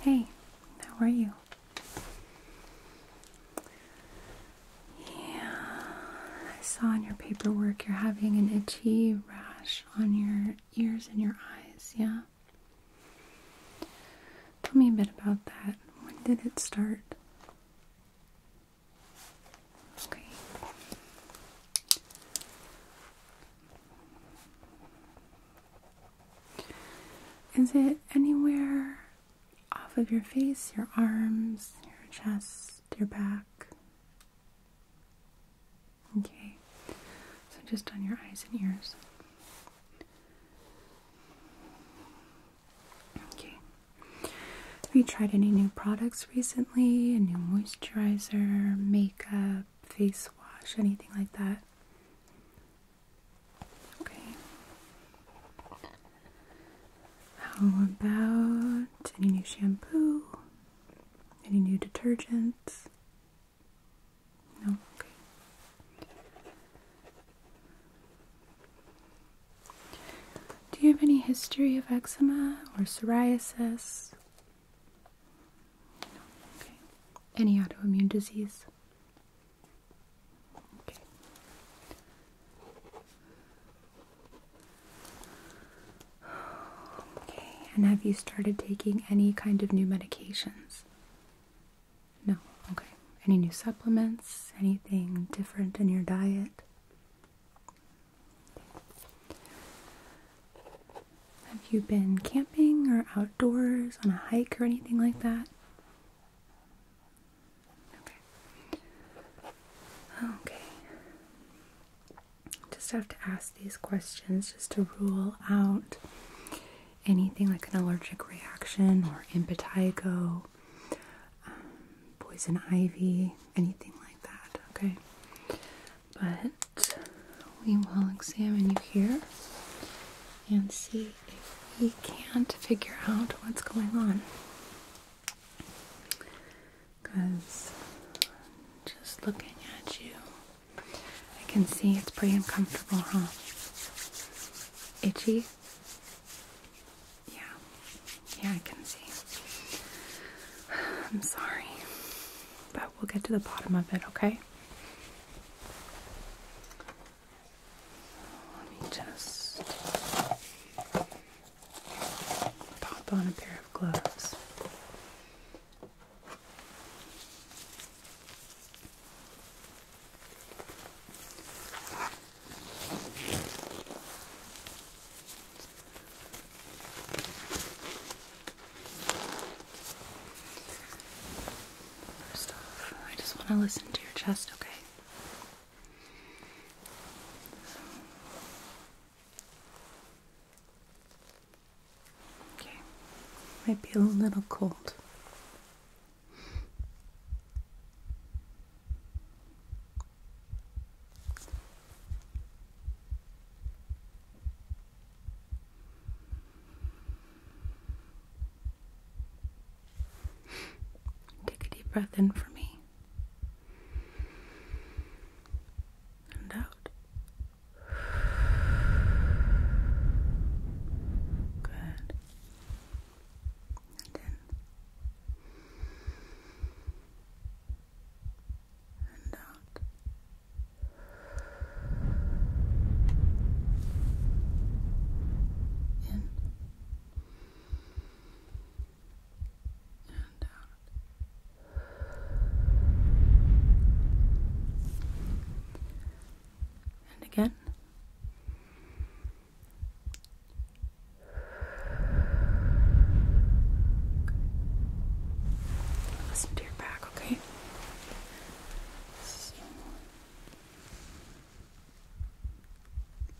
Hey, how are you? Yeah, I saw in your paperwork you're having an itchy rash on your ears and your eyes, yeah? Tell me a bit about that. When did it start? Okay. Is it anywhere off of your face, your arms, your chest, your back? Okay, so just on your eyes and ears. Okay. Have you tried any new products recently? A new moisturizer, makeup, face wash, anything like that? Okay. How about any new shampoo? Any new detergents? Do you have any history of eczema or psoriasis? Any autoimmune disease? Okay, and have you started taking any kind of new medications? No, okay. Any new supplements? Anything different in your diet? Have you been camping or outdoors on a hike or anything like that? Okay. Okay. Just have to ask these questions just to rule out anything like an allergic reaction or impetigo, um, poison ivy, anything like that, okay? But we will examine you here and see if we can't figure out what's going on. Because just looking at you, I can see it's pretty uncomfortable, huh? Itchy? Yeah. Yeah, I can see. I'm sorry. But we'll get to the bottom of it, okay? Let me just pop on a pair of gloves. First off, I just want to listen to your chest, okay? Okay, might be a little cold. Take a deep breath in for me and out. Good. And in. And out. In. And out. And again. Listen to your back, okay?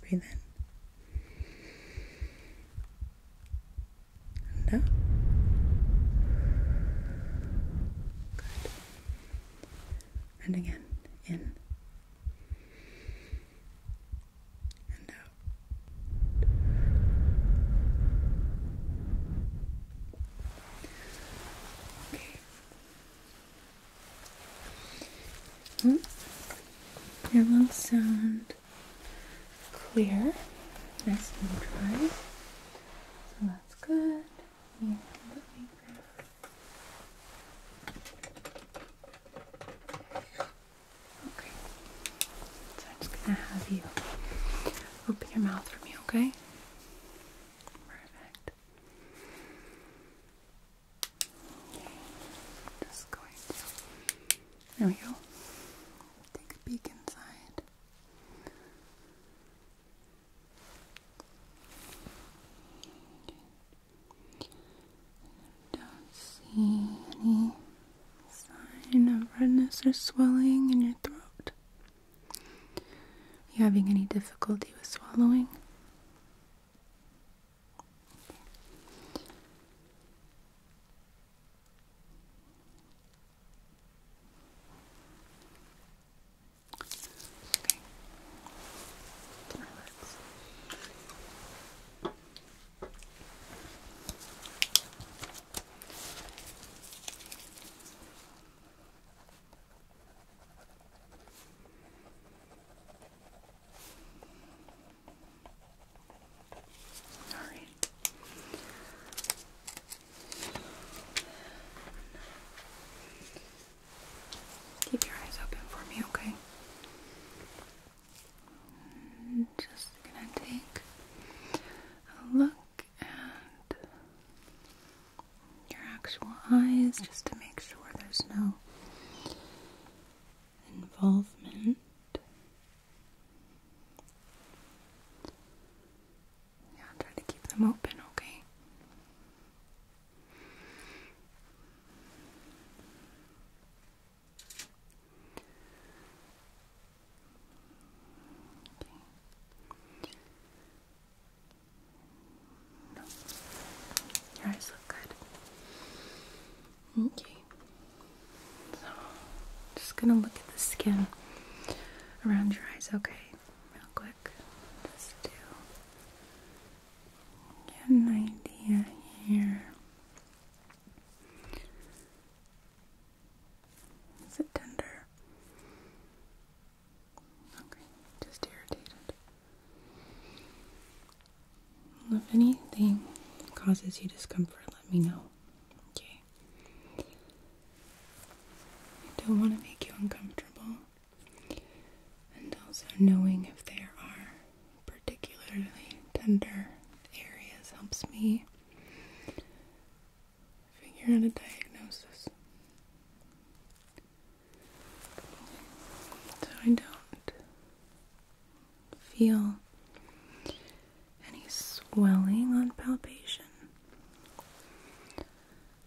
Breathe in. And and again, in and out. Okay. Well, hmm. your little sound clear, nice and dry. So that's good. Okay. So I'm just gonna have you open your mouth for me, okay? Perfect. Just going to There we go. Take a peek inside. I don't see any sign of redness or swelling in your throat. you having any difficulty with swallowing? Okay. Relax. All right. Keep your eyes open for me, okay? just gonna take a look at your actual eyes just to make sure there's no involvement. Yeah, try to keep them open, okay? Your eyes look good. Okay. So, just gonna look at the skin around your eyes, okay? real quick just to get an idea here. Is it tender? Okay, just irritated. If anything causes you discomfort, let me know. Okay. I don't want to make you uncomfortable. And also knowing if there are particularly tender areas helps me figure out a diagnosis. So I don't feel any swelling on palpation.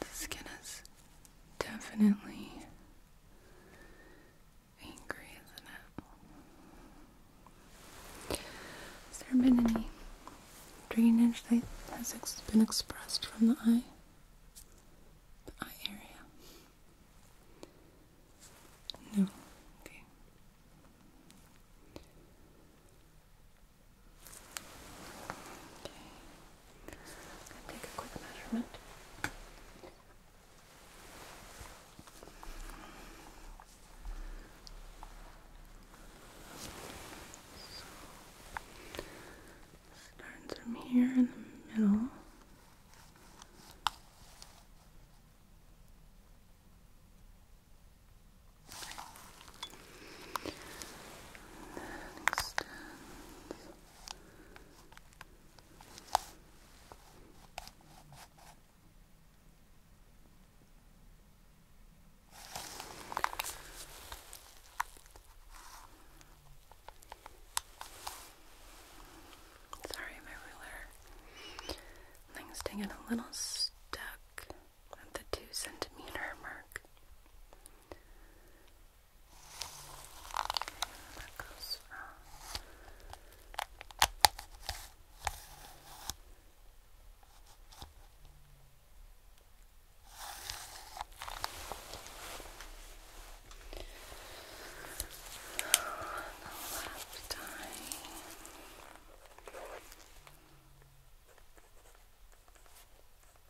The skin is definitely angry, isn't it? Has there been any drainage that has been expressed from the eye? The eye area? No. Okay take a quick measurement. So, starts from here in the middle. And then extends. Sorry, my ruler. Thing's taking a little stuck at the two centimeter mark. That goes from the left eye. Okay.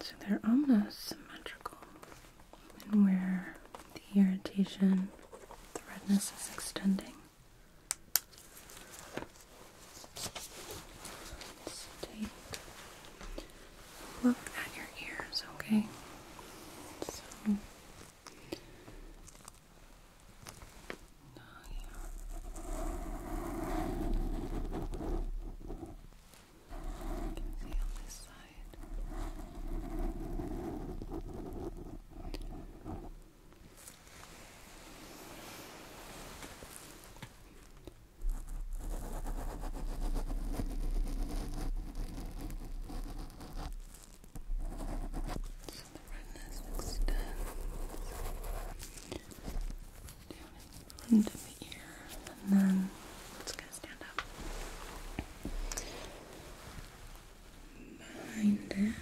So they're almost symmetrical and where the irritation, the redness is extending. look at your ears, okay? So yeah can see on this side. So the redness extends down into the ear, and then it's gonna stand up. Behind it, into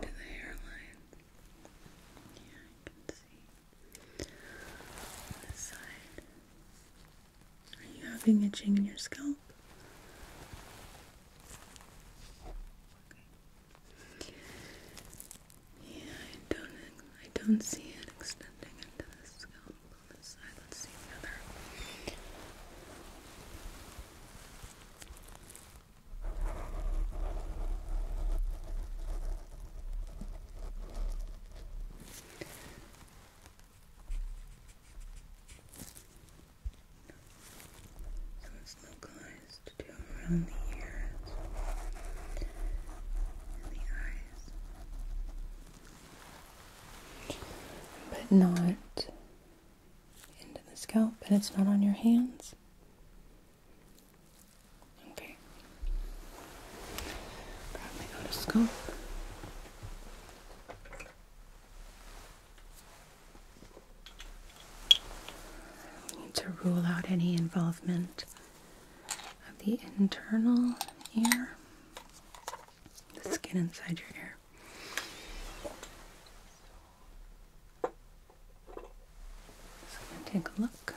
the hairline. Yeah, you can see. this side. Are you having itching in your scalp? Yeah, I don't I don't see it extending into the scalp on this side. Let's see another. So it's localized to do around the ears and the eyes, but not into the scalp, and it's not on your hands. Okay, grab my otoscope. We need to rule out any involvement of the internal ear, the skin inside your ear. So I'm going to take a look.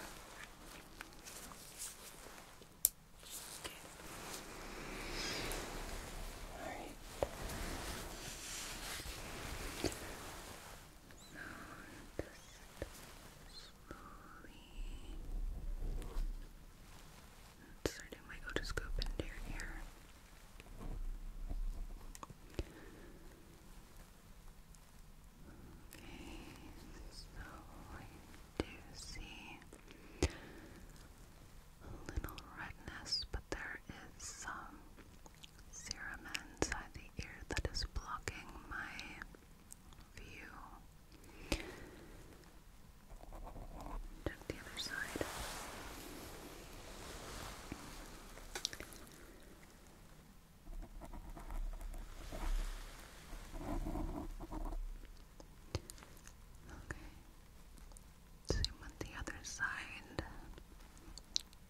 All right. Now just slowly inserting my otoscope into your ear. Okay, so I do see a little redness, but there is some serum inside the ear that is blocking my you. Check the other side. Okay. Zoom on the other side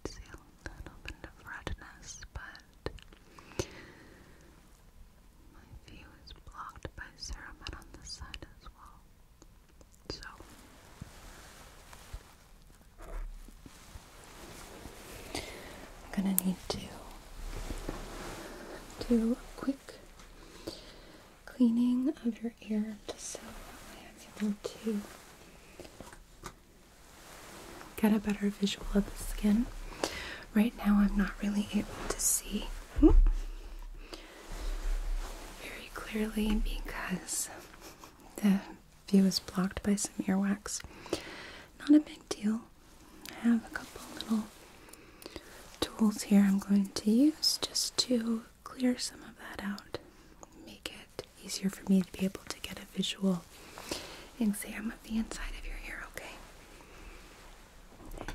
see a little bit of redness, but my view is blocked by cerumen on this side as well. So I'm gonna need to do a quick cleaning of your ear just so that way I'm able to get a better visual of the skin. Right now, I'm not really able to see very clearly because the view is blocked by some earwax. Not a big deal. I have a couple little tools here I'm going to use just to clear some of that out, make it easier for me to be able to get a visual visual exam of the inside of your ear, okay?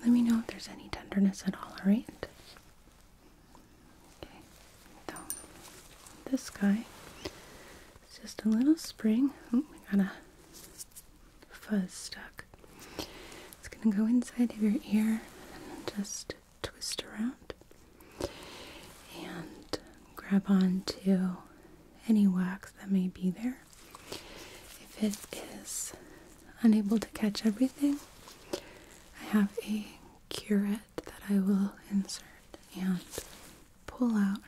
let me know if there's any tenderness at all, alright? Okay, so this guy is just a little spring. Oh, I got a fuzz stuck. It's gonna go inside of your ear and just twist around and grab on to any wax that may be there. If it is unable to catch everything, I have a curette that I will insert and pull out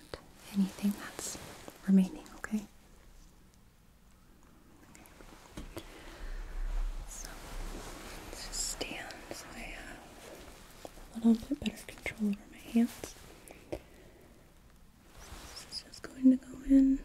anything that's remaining, okay? So let's just stand so I have a little bit better control over my hands. this is just going to go in.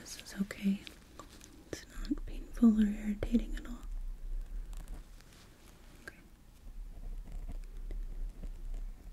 This is okay. It's not painful or irritating at all.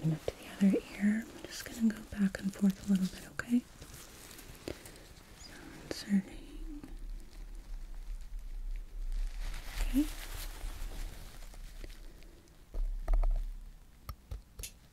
Coming up to the other ear, I'm just going to go back and forth a little bit, okay? inserting. Okay.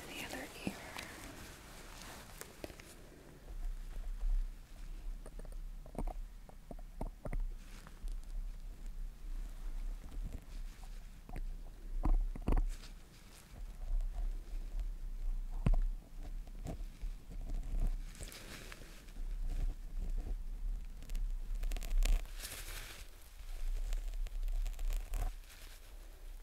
And the other ear.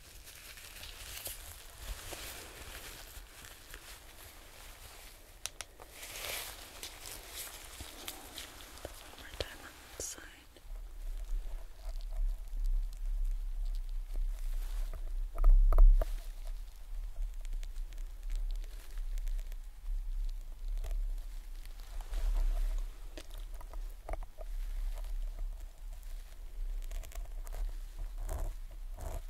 One more time on the side. Good.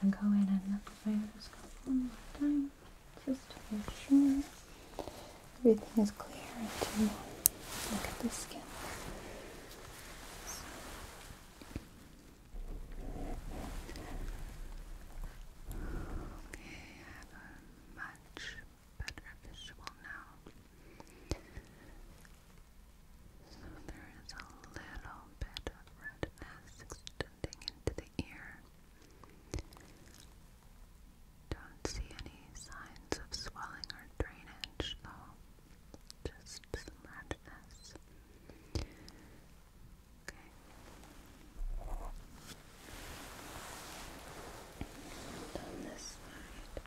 Can go in and let's apply this one more time just to make sure everything is clear and to look at the skin. Okay, have a much better visual now. So there is a little bit of redness extending into the ear. Don't see any signs of swelling or drainage though. Just redness. Okay. on this side.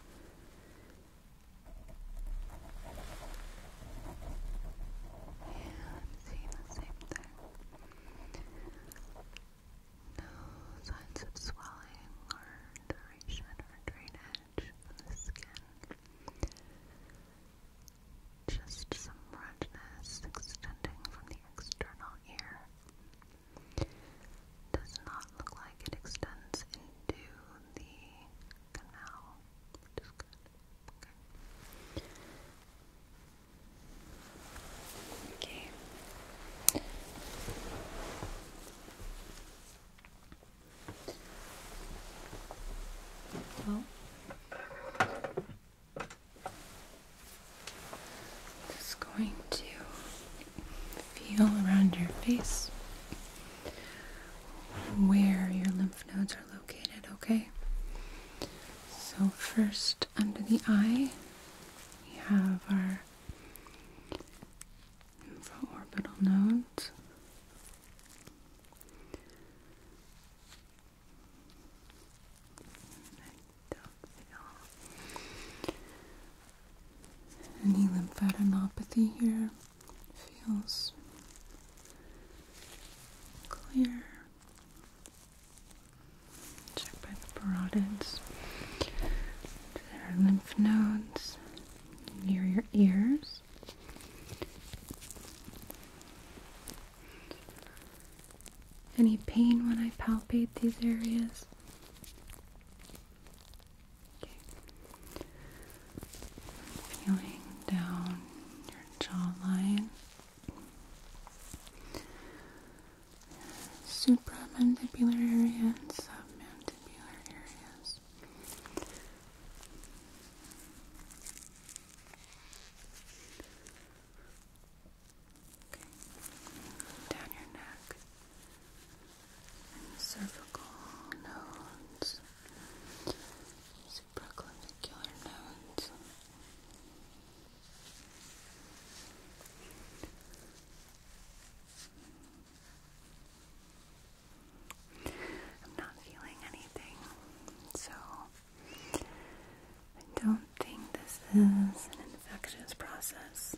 I'm seeing the same thing. No signs of swelling or duration or drainage on the skin. Just some redness extending from the external ear does not look like it extends into the canal, Okay. Well, just going to feel around your face where your lymph nodes are located, okay? So, first under the eye, we have our infraorbital nodes. Any lymphadenopathy here feels clear. Check by the parotid. There are lymph nodes near your ears. Any pain when I palpate these areas? Feeling down your jawline, supramandibular area and submandibular areas. Down your neck cervical nodes, supraclavicular nodes. I'm not feeling anything, so I don't think this is an infectious process.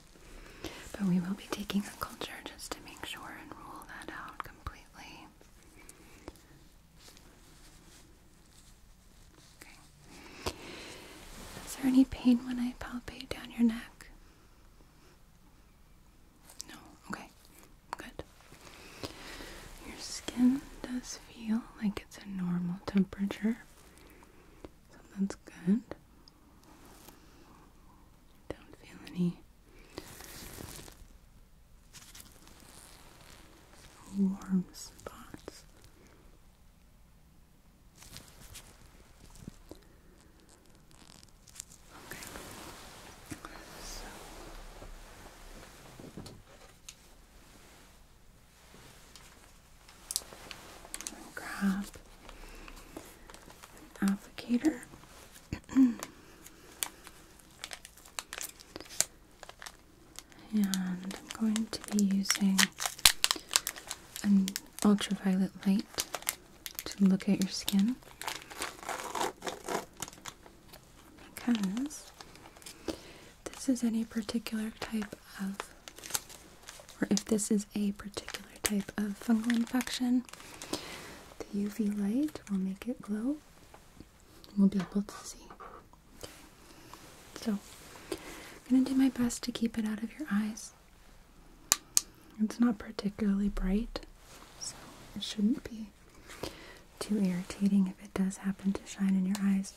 But we will be taking a culture just to make sure and rule that out completely. Okay. Is there any pain when I palpate down your neck? No. Okay. Good. Your skin does feel like it's a normal temperature. So that's good. Don't feel any warm spots. Okay. So grab an applicator. and I'm going to be using an ultraviolet light to look at your skin because this is any particular type of or if this is a particular type of fungal infection. The UV light will make it glow. We'll be able to see. Okay. So, I'm going to do my best to keep it out of your eyes. It's not particularly bright, so it shouldn't be too irritating if it does happen to shine in your eyes.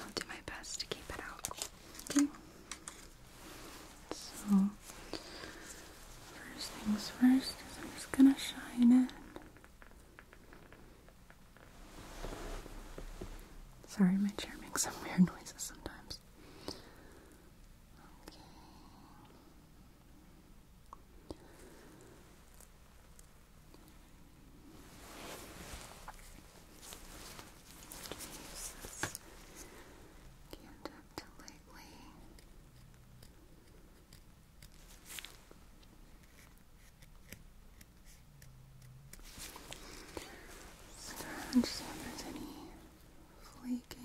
I'll do my best to keep it out. Okay. So, first things first is I'm just gonna shine it. Sorry, my chair makes some weird noises sometimes absolutely. I'm just wondering if there's any flaking.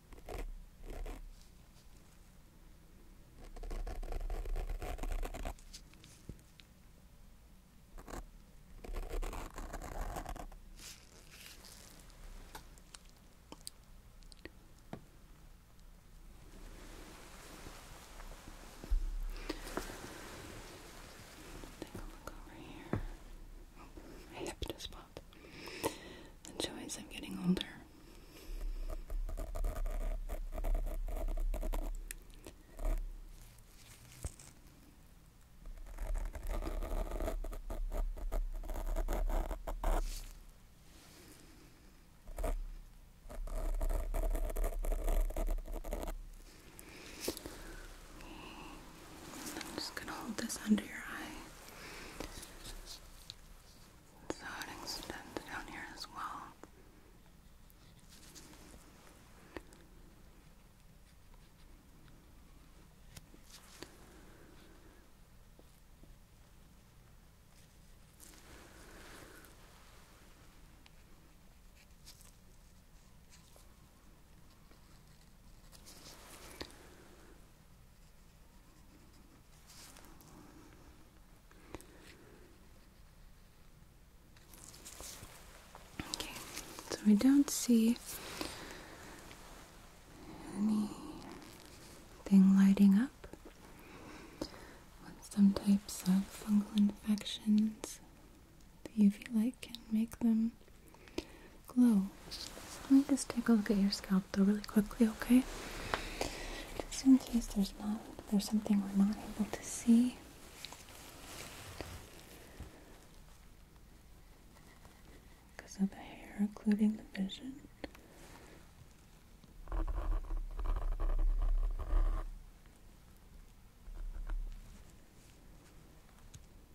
Take a look over here. Oh, the joys of getting older. I'm just gonna hold this under your eye. So it extends down here as well. Okay, so we don't see anything lighting up some types of fungal infections. The UV light can make them glows. Let me just take a look at your scalp though really quickly, okay? Just in case there's not there's something we're not able to see. Because of the hair including the vision.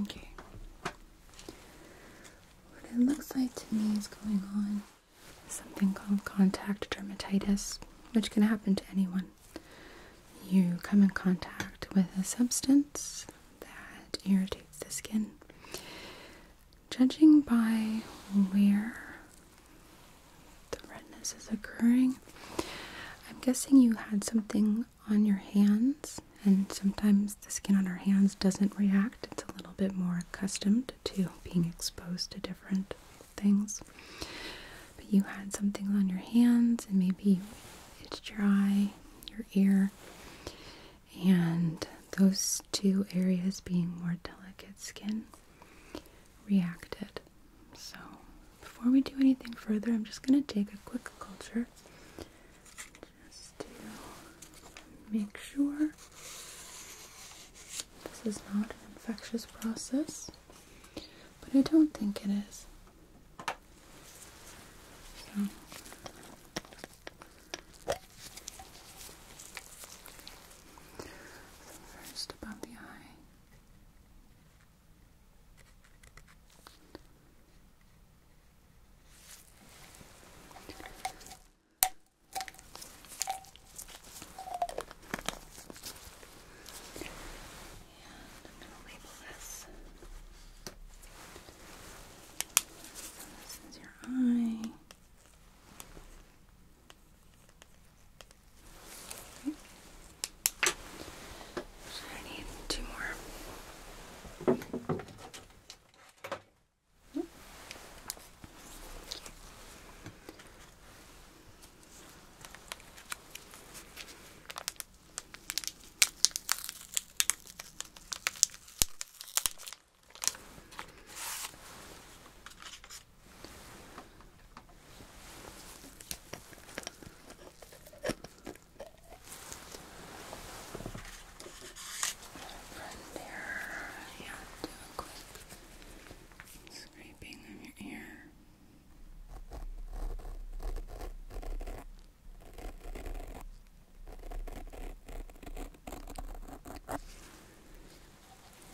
Okay. What it looks like to me is going on something called contact dermatitis, which can happen to anyone. You come in contact with a substance that irritates the skin judging by where the redness is occurring, I'm guessing you had something on your hands, and sometimes the skin on our hands doesn't react. It's a little bit more accustomed to being exposed to different things. But you had something on your hands, and maybe you itched your eye, your ear, and those two areas being more delicate skin reacted. So, before we do anything further, I'm just going to take a quick culture just to make sure this is not an infectious process, but I don't think it is. So first above the eye. And I'm going to label this. this is your eye. Okay. So I need two more. From there, yeah, do a quick scraping of your ear.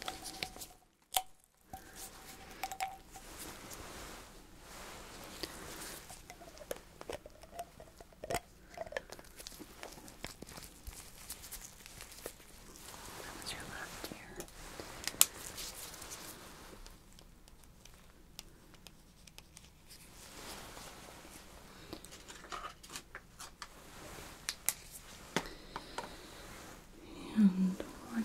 That was your left ear. Okay. And one more.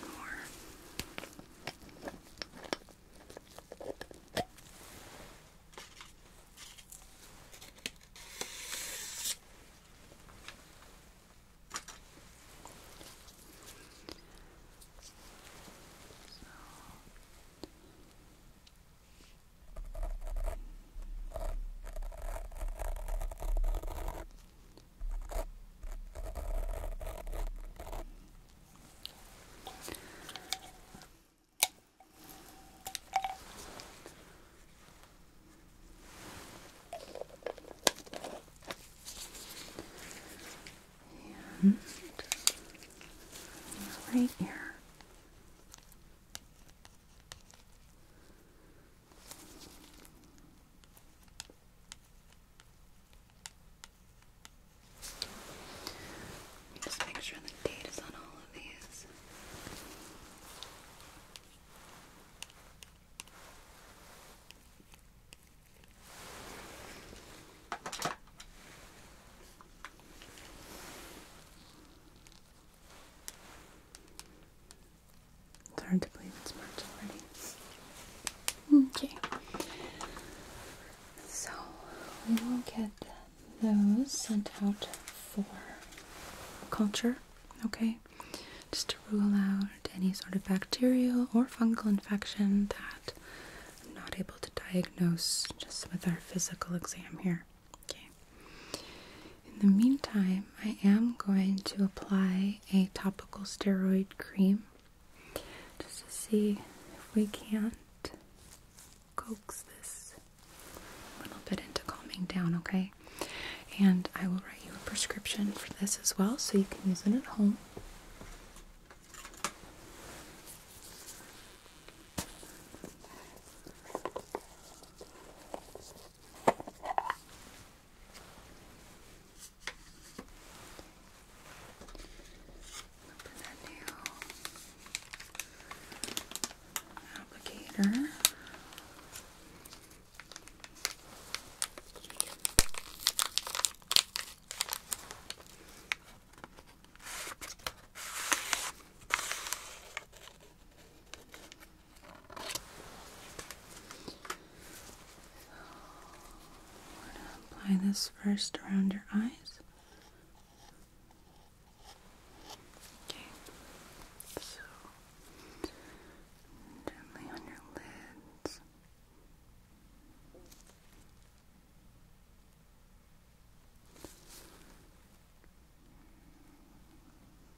And right here. Just make sure the date is on all of these. It's hard to believe it's March already. Okay. So we will get those sent out for culture, okay? Just to rule out any sort of bacterial or fungal infection that I'm not able to diagnose just with our physical exam here. Okay. In the meantime, I am going to apply a topical steroid cream just to see if we can't coax this a little bit into calming down, okay? And I will write you a prescription for this as well so you can use it at home. Open that new applicator. Okay. I'm going to apply this first around your eyes. Okay, so gently on your lids.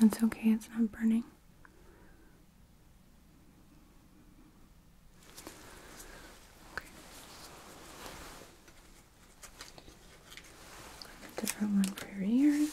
That's okay, it's not burning. different one for your ears.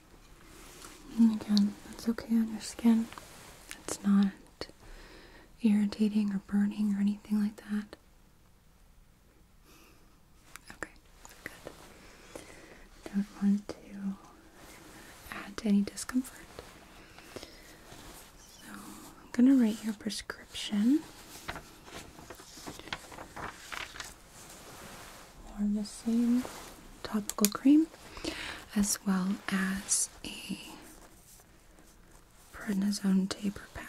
And again, that's okay on your skin. It's not irritating or burning or anything like that. Okay, good. Don't want to add any discomfort. So I'm gonna write your prescription. Or the same topical cream as well as a prednisone taper pack.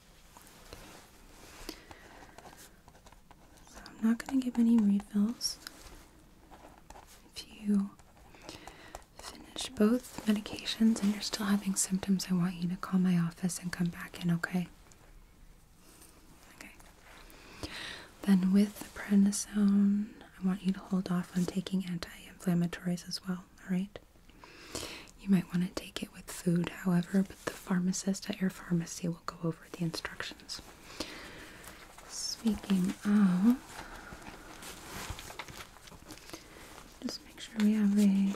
I'm not going to give any refills. If you finish both medications and you're still having symptoms, I want you to call my office and come back in, okay? Okay. Then with the prednisone, I want you to hold off on taking anti inflammatories as well, alright? You might want to take it with food, however, the pharmacist at your pharmacy will go over the instructions. Speaking of, just make sure we have a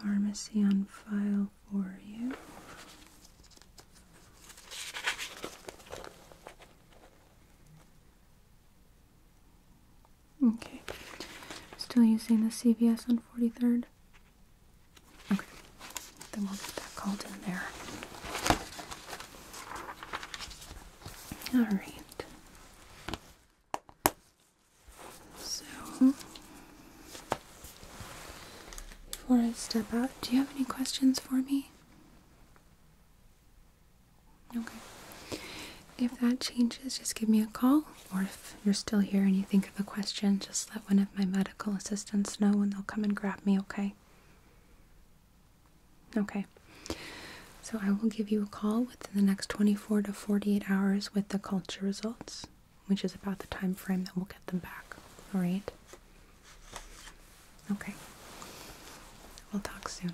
pharmacy on file for you. Okay, still using the CVS on 43rd. Okay, then we'll get that called in there. All right. So, before I step out, do you have any questions for me? Okay. If that changes, just give me a call or if you're still here and you think of a question, just let one of my medical assistants know and they'll come and grab me, okay? Okay. So I will give you a call within the next 24 to 48 hours with the culture results, which is about the time frame that we'll get them back. All right? Okay. We'll talk soon.